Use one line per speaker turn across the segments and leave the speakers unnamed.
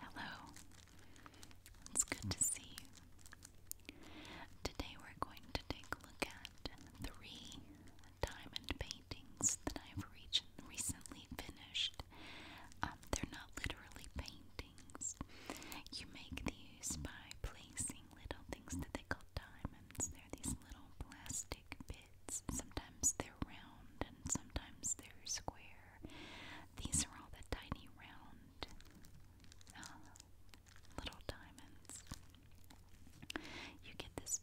Hello, it's good to see you. Today we're going to take a look at three diamond paintings that I've recently finished. Um, they're not literally paintings. You make these by placing little things that they call diamonds. They're these little plastic Sometimes they're round and sometimes they're square. These are all the tiny round uh, little diamonds. You get this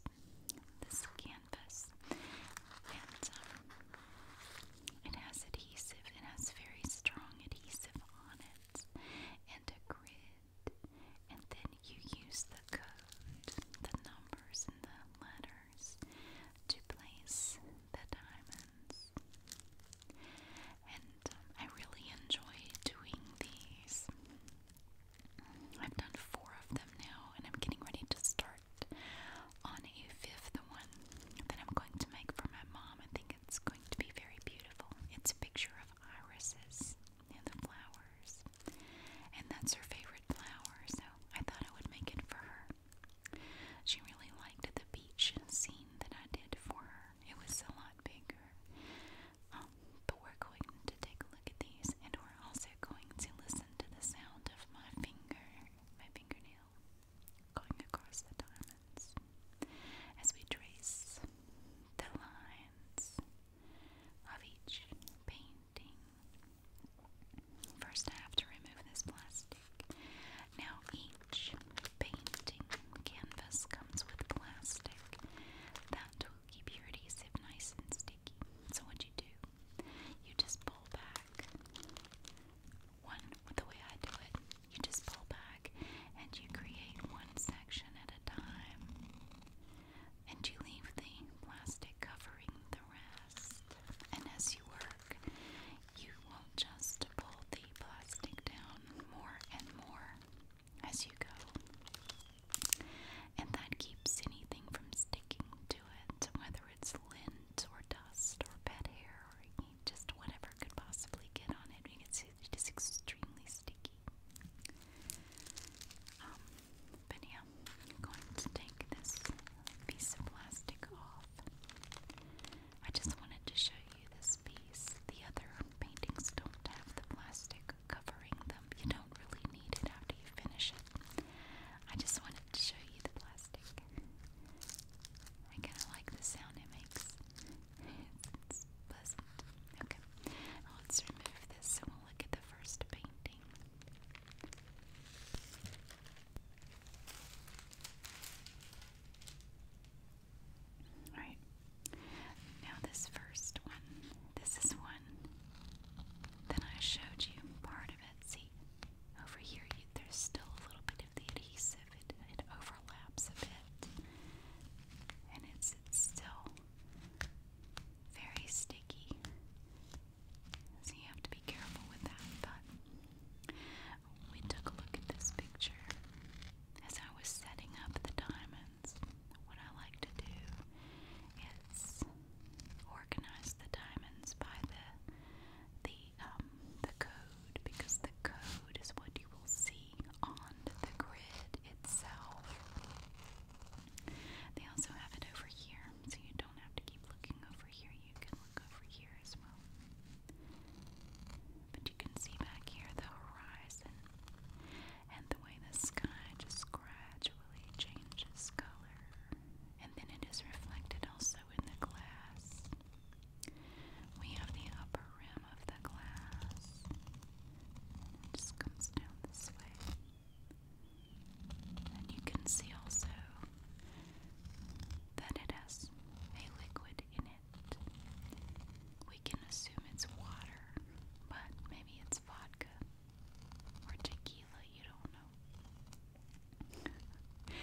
this canvas, and um, it has adhesive. It has very strong adhesive on it, and a grid. And then you use the code, the numbers, and the letters to place the diamonds. And um, I really enjoy doing these. I've done four of them now, and I'm getting ready to start on a fifth one that I'm going to make for my mom. I think it's going to be very beautiful. It's a picture of irises and the flowers and that's her favorite flower, so I thought I would make it for her. She really liked the beach scene that I did for her. It was a lot bigger. Um, but we're going to take a look at these, and we're also going to listen to the sound of my finger, my fingernail, going across the diamonds as we trace the lines of each paint. First, I have to remove this plastic. Now, each painting canvas comes with plastic that will keep your adhesive nice and sticky. So, what you do, you just pull back. One, the way I do it, you just pull back and you create one section at a time and you leave the plastic covering the rest. And as you work, you won't just pull the plastic down more and more as you go. And that keeps anything from sticking to it, whether it's lint or dust or pet hair or just whatever could possibly get on it. It's, it's extremely sticky. Um, but yeah, I'm going to take this piece of plastic off. I just wanted to show you this piece. The other paintings don't have the plastic covering them. You don't really need it after you finish it. I just wanted to show you the plastic. I kind of like the sound it makes. let's remove this and we'll look at the first painting. All right. Now this first one. This is one that I showed you part of it. See, over here there's still a little bit of the adhesive. It, overlaps a bit, and it's still very sticky. So you have to be careful with that. But we took a look at this picture as I was setting up the diamonds. What I like to do is organize the diamonds by the the um, the code because the code is what you will see on the grid itself. They also have it over here them um, so you don't have to keep looking over here. You can look over here as well. But you can see back here the horizon and the way the sky just gradually changes color. And then it is reflected also in the glass. We have the upper rim of the glass. just comes down this way. And you can see also that it has a liquid in it. We can assume it's water, but maybe it's vodka or tequila, you don't know.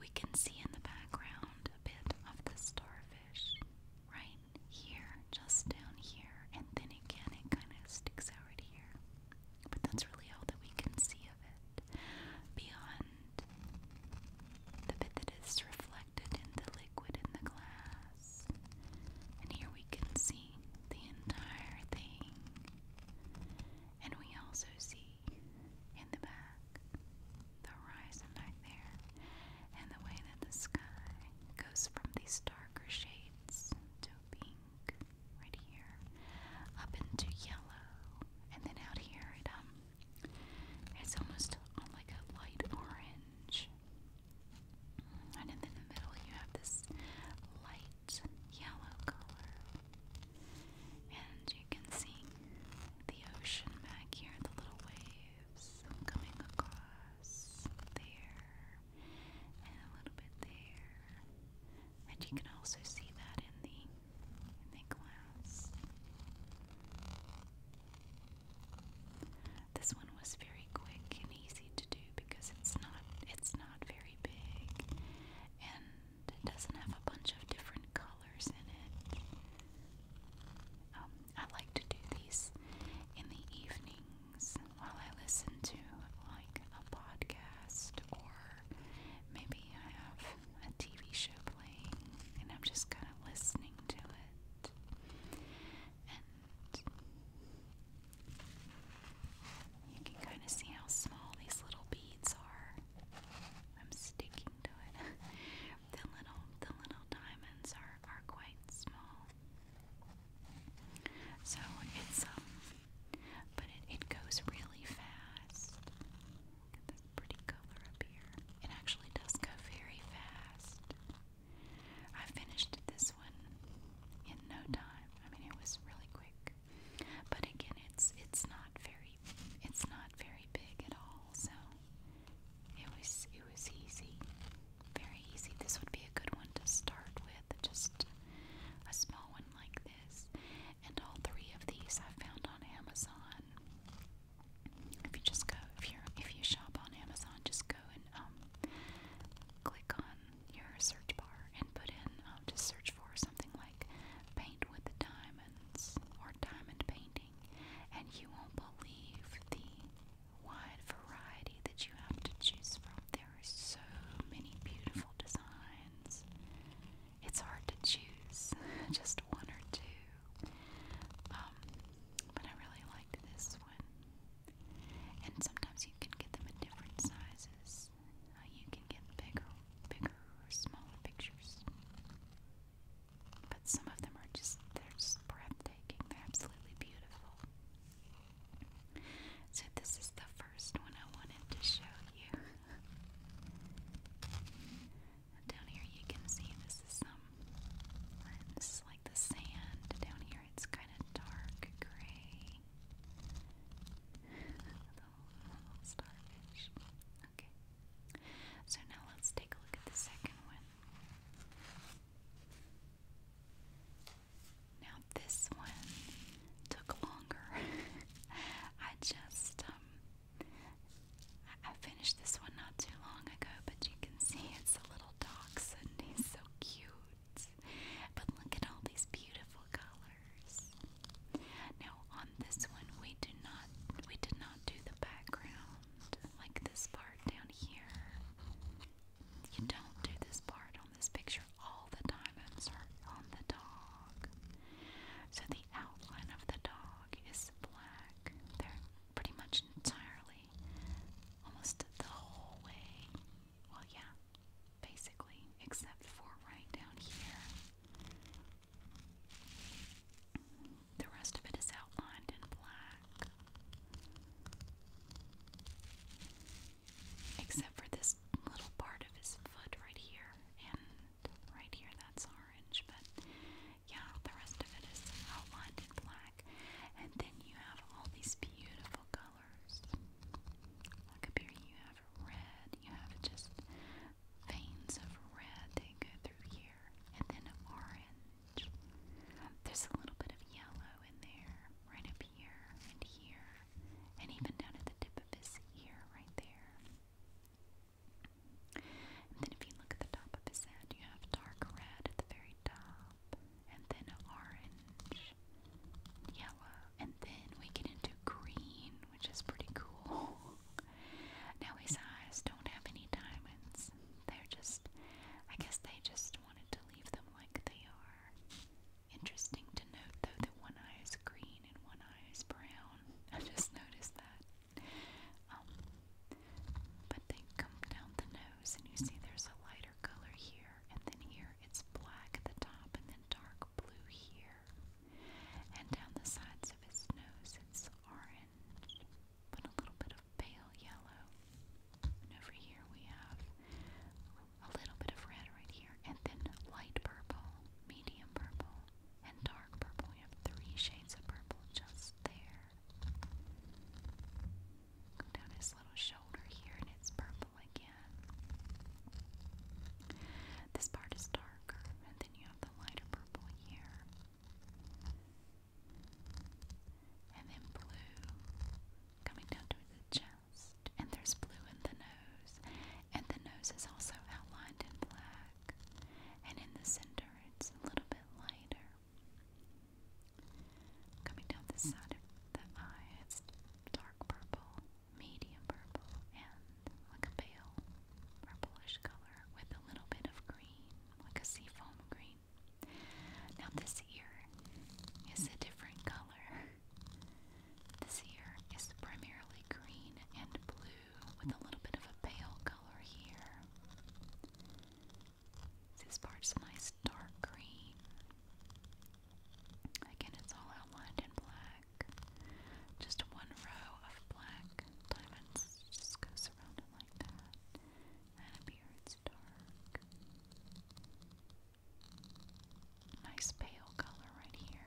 we can see in the background a bit of the starfish right here, just down here, and then again it kind of sticks out here. But that's really all that we can see of it. Beyond the bit that is reflected in the liquid in the glass. And here we can see the entire thing. And we also see in the back the horizon right there. And the way that the sky goes from these darker shades to pink right here, up into yellow, and then out here it um it's almost on like a light orange. And in the middle you have this light yellow color. And you can see the ocean back here, the little waves coming across there and a little bit there. And you can also see that in the in the glass. This one was very quick and easy to do because it's not it's not very big and it doesn't have a bunch of different colors in it. Um, I like to do these in the evening while I listen to like a podcast or maybe I have a TV show playing and I'm just kind of listening to it. And you can kind of see how small these little beads are. I'm sticking to it. the little the little diamonds are are quite small. So it's um, but it, it goes really fast. Look pretty color up here. It actually does go very fast. I finished this one in no time. I mean, it was really quick. But again, it's it's not very it's not very big at all. So it was it was easy very easy. This would be a good one to start with, just a small one like this. And all three of these I found on Amazon. If you just go, if you if you shop on Amazon, just go and um, click on your search bar and put in um, just search for something like paint with the diamonds or diamond painting, and you won't believe the wide variety that you have to choose from. There are so many beautiful designs. It's hard to choose just one or two. Um, but I really liked this one. And sometimes you can get them in different sizes. Uh, you can get bigger, bigger or smaller pictures. But some of them are just, they're just breathtaking. They're absolutely beautiful. So, this is the first one I wanted to show you. down here, you can see this is some. like the sand. Down here, it's kind of dark gray. the little starfish. Okay. So, now let's take a look at the second one. Now this one took longer. I just um, I, finished this one not too long ago, but you can see it's a little dachshund. He's so cute. But look at all these beautiful colors. Now on this one we do not we did not do the background like this part down here. You don't do this part this picture all the diamonds are on the dog. So the outline of the dog is black. They're pretty much entirely, almost the whole way. Well, yeah, basically, except for right down here. The rest of it is outlined in black. Except for this little part of his foot right here and right here that's orange, but yeah, the rest of it is outlined in black. And then you have all these beautiful colors. Look up here, you have red, you have just veins of red that go through here, and then orange. There's a little bit of yellow in there, right up here and here, and even down at the tip of his ear right there. then if you look at the top of his head, you have dark red at the very top, and then orange, yellow, and then we get into green, which is pretty cool. Now his eyes don't have any diamonds. They're just, I guess they just wanted to leave them like they are. Interesting to note though that one eye is green and one eye is brown. I just noticed that. Um, but they come down the nose and you see there's a lighter color here and then here it's black at the top and then dark blue here. And down the sides of his nose it's orange but a little bit of pale yellow. And over here we have a little bit of red right here, and then light purple, medium purple, and dark purple. We have three shades of purple just there. Go down his little shoulder here, and it's purple again. This part is darker, and then you have the lighter purple here. And then blue coming down to the chest, and there's blue in the nose, and the nose is also outlined in black, and in the center it's a little bit lighter. Coming down the side of the eye, it's dark purple, medium purple, and like a pale purplish color with a little bit of green, like a seafoam green now, this ear is a different color. This ear is primarily green and blue with a little bit of a pale color here. This part's a nice dark green. Again, it's all outlined in black. Just one row of black diamonds just goes around it like that. That up here, it's dark. Nice pale color right here.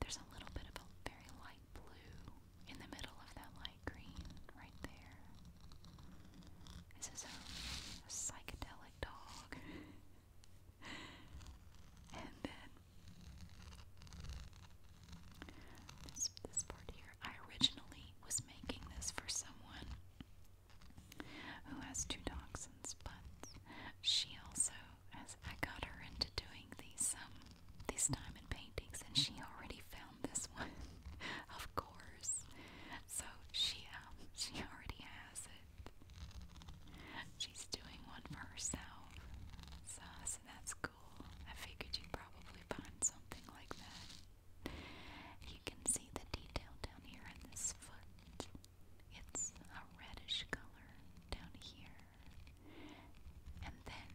There's a little bit of a very light blue in the middle of that light green right there. This is a, psychedelic dog. and then this part here. I originally was making this for someone who has two dachshunds, but she also has I got her into doing these um these diamond paintings and she already found this one, of course. So she um she already has it. She's doing one for herself. So, so that's cool. I figured you'd probably find something like that. You can see the detail down here in this foot. It's a reddish color down here. And then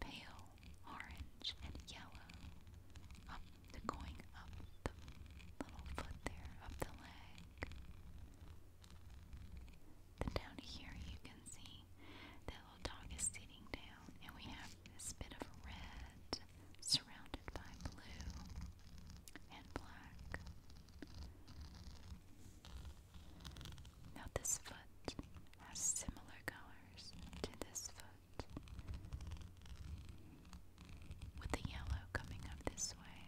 pale orange and yellow up going up the little foot there, up the leg. Then down here you can see the little dog is sitting down and we have this bit of red surrounded by blue and black. Now, this foot has similar colors to this foot, with the yellow coming up this way.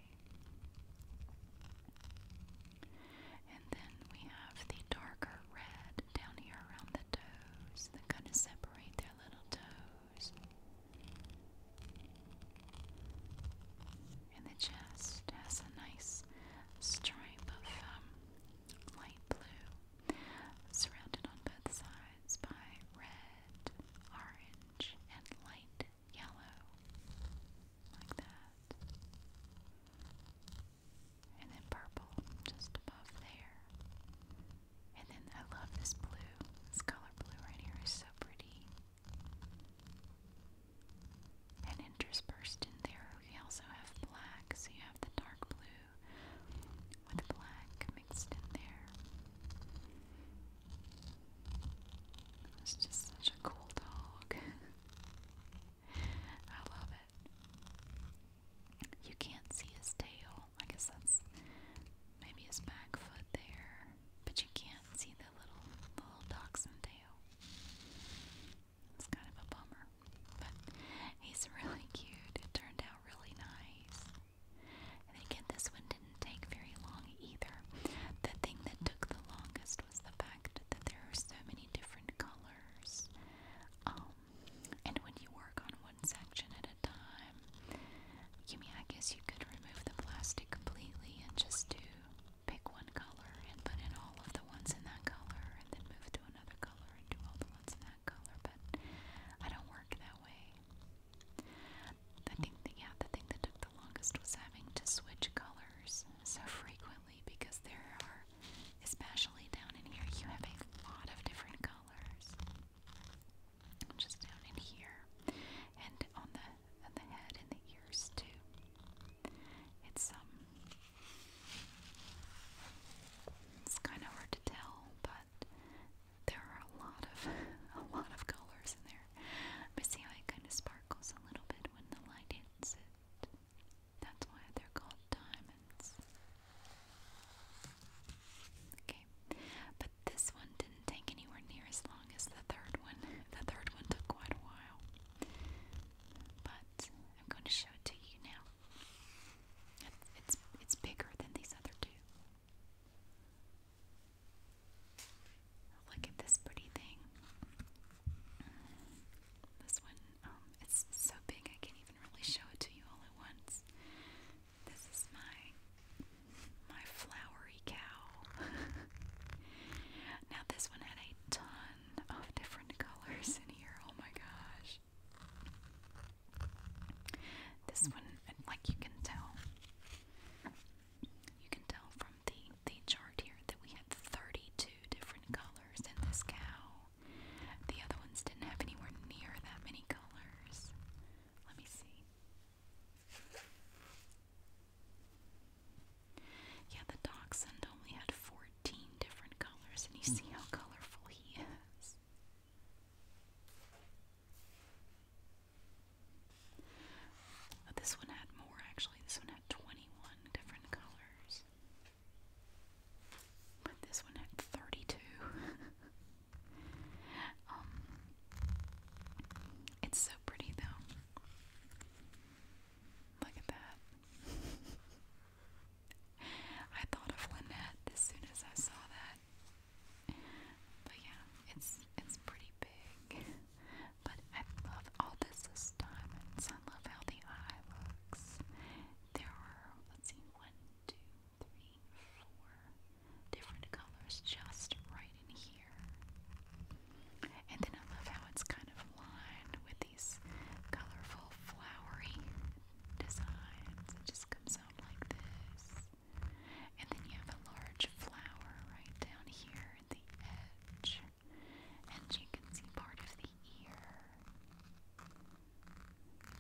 And then we have the darker red down here around the toes that kind of separate their little toes. And the chest has a nice stripe of um, light blue, surrounded on both sides by red, orange, and light yellow, like that. And then purple just above there. And then I love this blue. This color blue right here is so pretty. And interspersed in there, we also have black. So you have the dark blue with black mixed in there. It's just such a cool dog. I love it. You can't see his tail. I guess that's maybe his back foot there. But you can't see the little the little dachshund tail. It's kind of a bummer. But he's really cute. It turned out really nice. And again, this one didn't take very long either. The thing that took the longest was the fact that there are so many different colors. Um, and when you work on one section at a time, I guess you could remove the plastic completely and just do pick one color and put in all of the ones in that color and then move to another color and do all the ones in that color, but I don't work that way. I think the, yeah, the thing that took the longest was having to switch colors so frequently because there are, especially down in here, you have a lot of different colors just down in here, and on the on the head and the ears too. It's um, it's kind of hard to tell, but there are a lot of a lot of colors in there. But see kind of sparkles a little bit when the light hits it. That's why they're called diamonds. Okay, but this one didn't take anywhere near as long as the third one. The third one took quite a while, but I'm going to show it to you now. It's it's, bigger than these other two. Look at this pretty thing. This one, um, it's so big I can't even really show it to you all at once. This is my my flowery cow. now this one had a ton of different colors in here. Oh my gosh. This one, like you can tell, you can tell from the the chart here that we had 32 different colors in this cow. The other ones didn't have anywhere near that many colors. Let me see. Yeah, the dachshund only had 14 different colors, and you see how colorful he is. this one had more, actually. This one had 21 different colors. But this one had 32. Um, it's so pretty though. Look at that. I thought of Lynette as soon as I saw that. But yeah, it's it's pretty big. But I love all this diamonds. I love how the eye looks. There are let's see, one, two, three, four different colors just right in here. And then I love how it's kind of lined with these colorful flowery designs. It just comes out like this. And then you have a large flower right down here at the edge. And you can see part of the ear.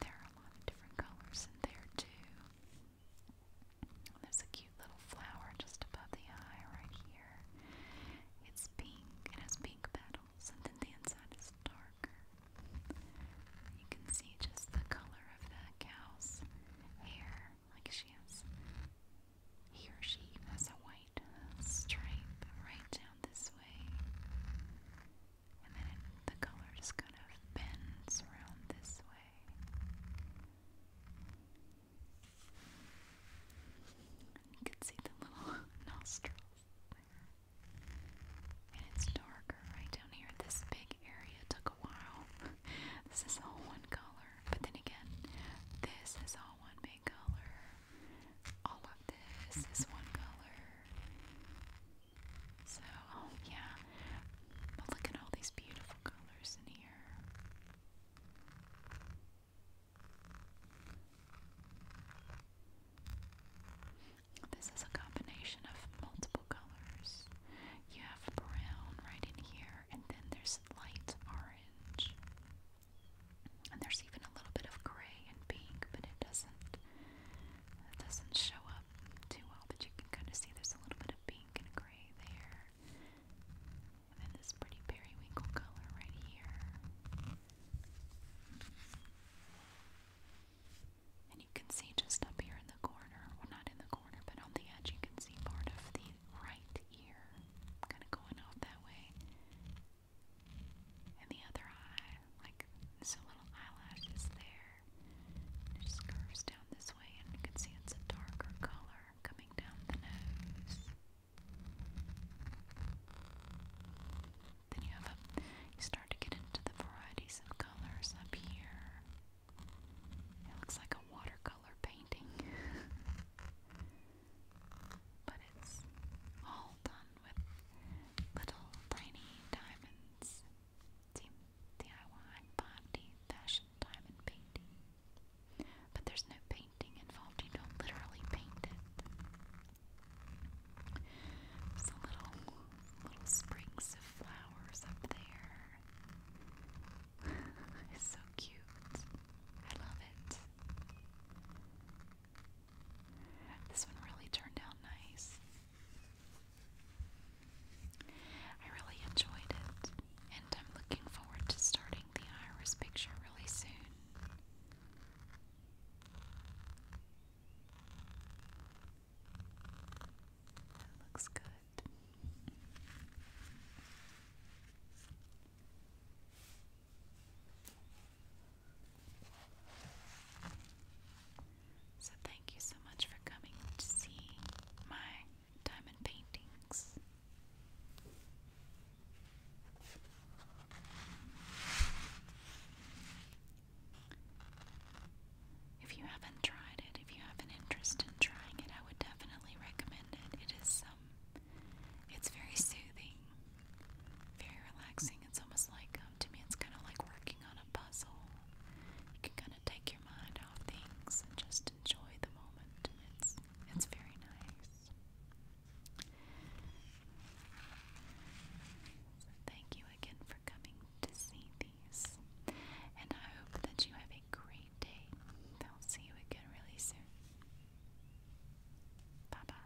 There are a lot of different colors in there too. There's a cute little flower just above the eye right here. It's pink. It has pink petals, and then the inside is darker. You can see just the color of the cow's hair, like she has. He or she has a white stripe right down this way and then the color just kind of bends around this way. You can see the little nostrils there. And it's darker right down here. This big area took a while. this is all one color. But then again, this is all one big color. All of this is one color. So, oh, yeah. But look at all these beautiful colors in here. This is a combination of multiple colors. You have brown right in here, and then there's light orange. And there's even a little bit of gray and pink, but it doesn't that doesn't show up too well, but you can kind of see there's a little bit of pink and gray there. And then this pretty periwinkle color right here. And you can see just up here in the corner, well not in the corner, but on the edge you can see part of the right ear kind of going off that way. And the other eye, like this little eyelash is there. It just curves down this way, and you can see it's a darker color coming down the nose. Then you have you start to get into the varieties of colors up here. It looks like a watercolor painting, but it's all done with little tiny diamonds. DIY, 5 fashion, diamond painting. But there's no painting involved, you don't literally paint it. There's a little, little springs flowers up there. it's so cute. I love it. This one really turned out nice. I really enjoyed it, and I'm looking forward to starting the iris picture really soon. That looks good. So, thank you so much for coming to see my diamond paintings. If you haven't tried it, if you have an interest in trying it, I would definitely recommend it. It is um it's very soothing, very relaxing. It's almost like um, to me it's kind of like working on a puzzle. You can kind of take your mind off things and just enjoy the moment. It's it's very nice. thank you again for coming to see these. And I hope that you have a great day. I'll see you again really soon. Bye bye.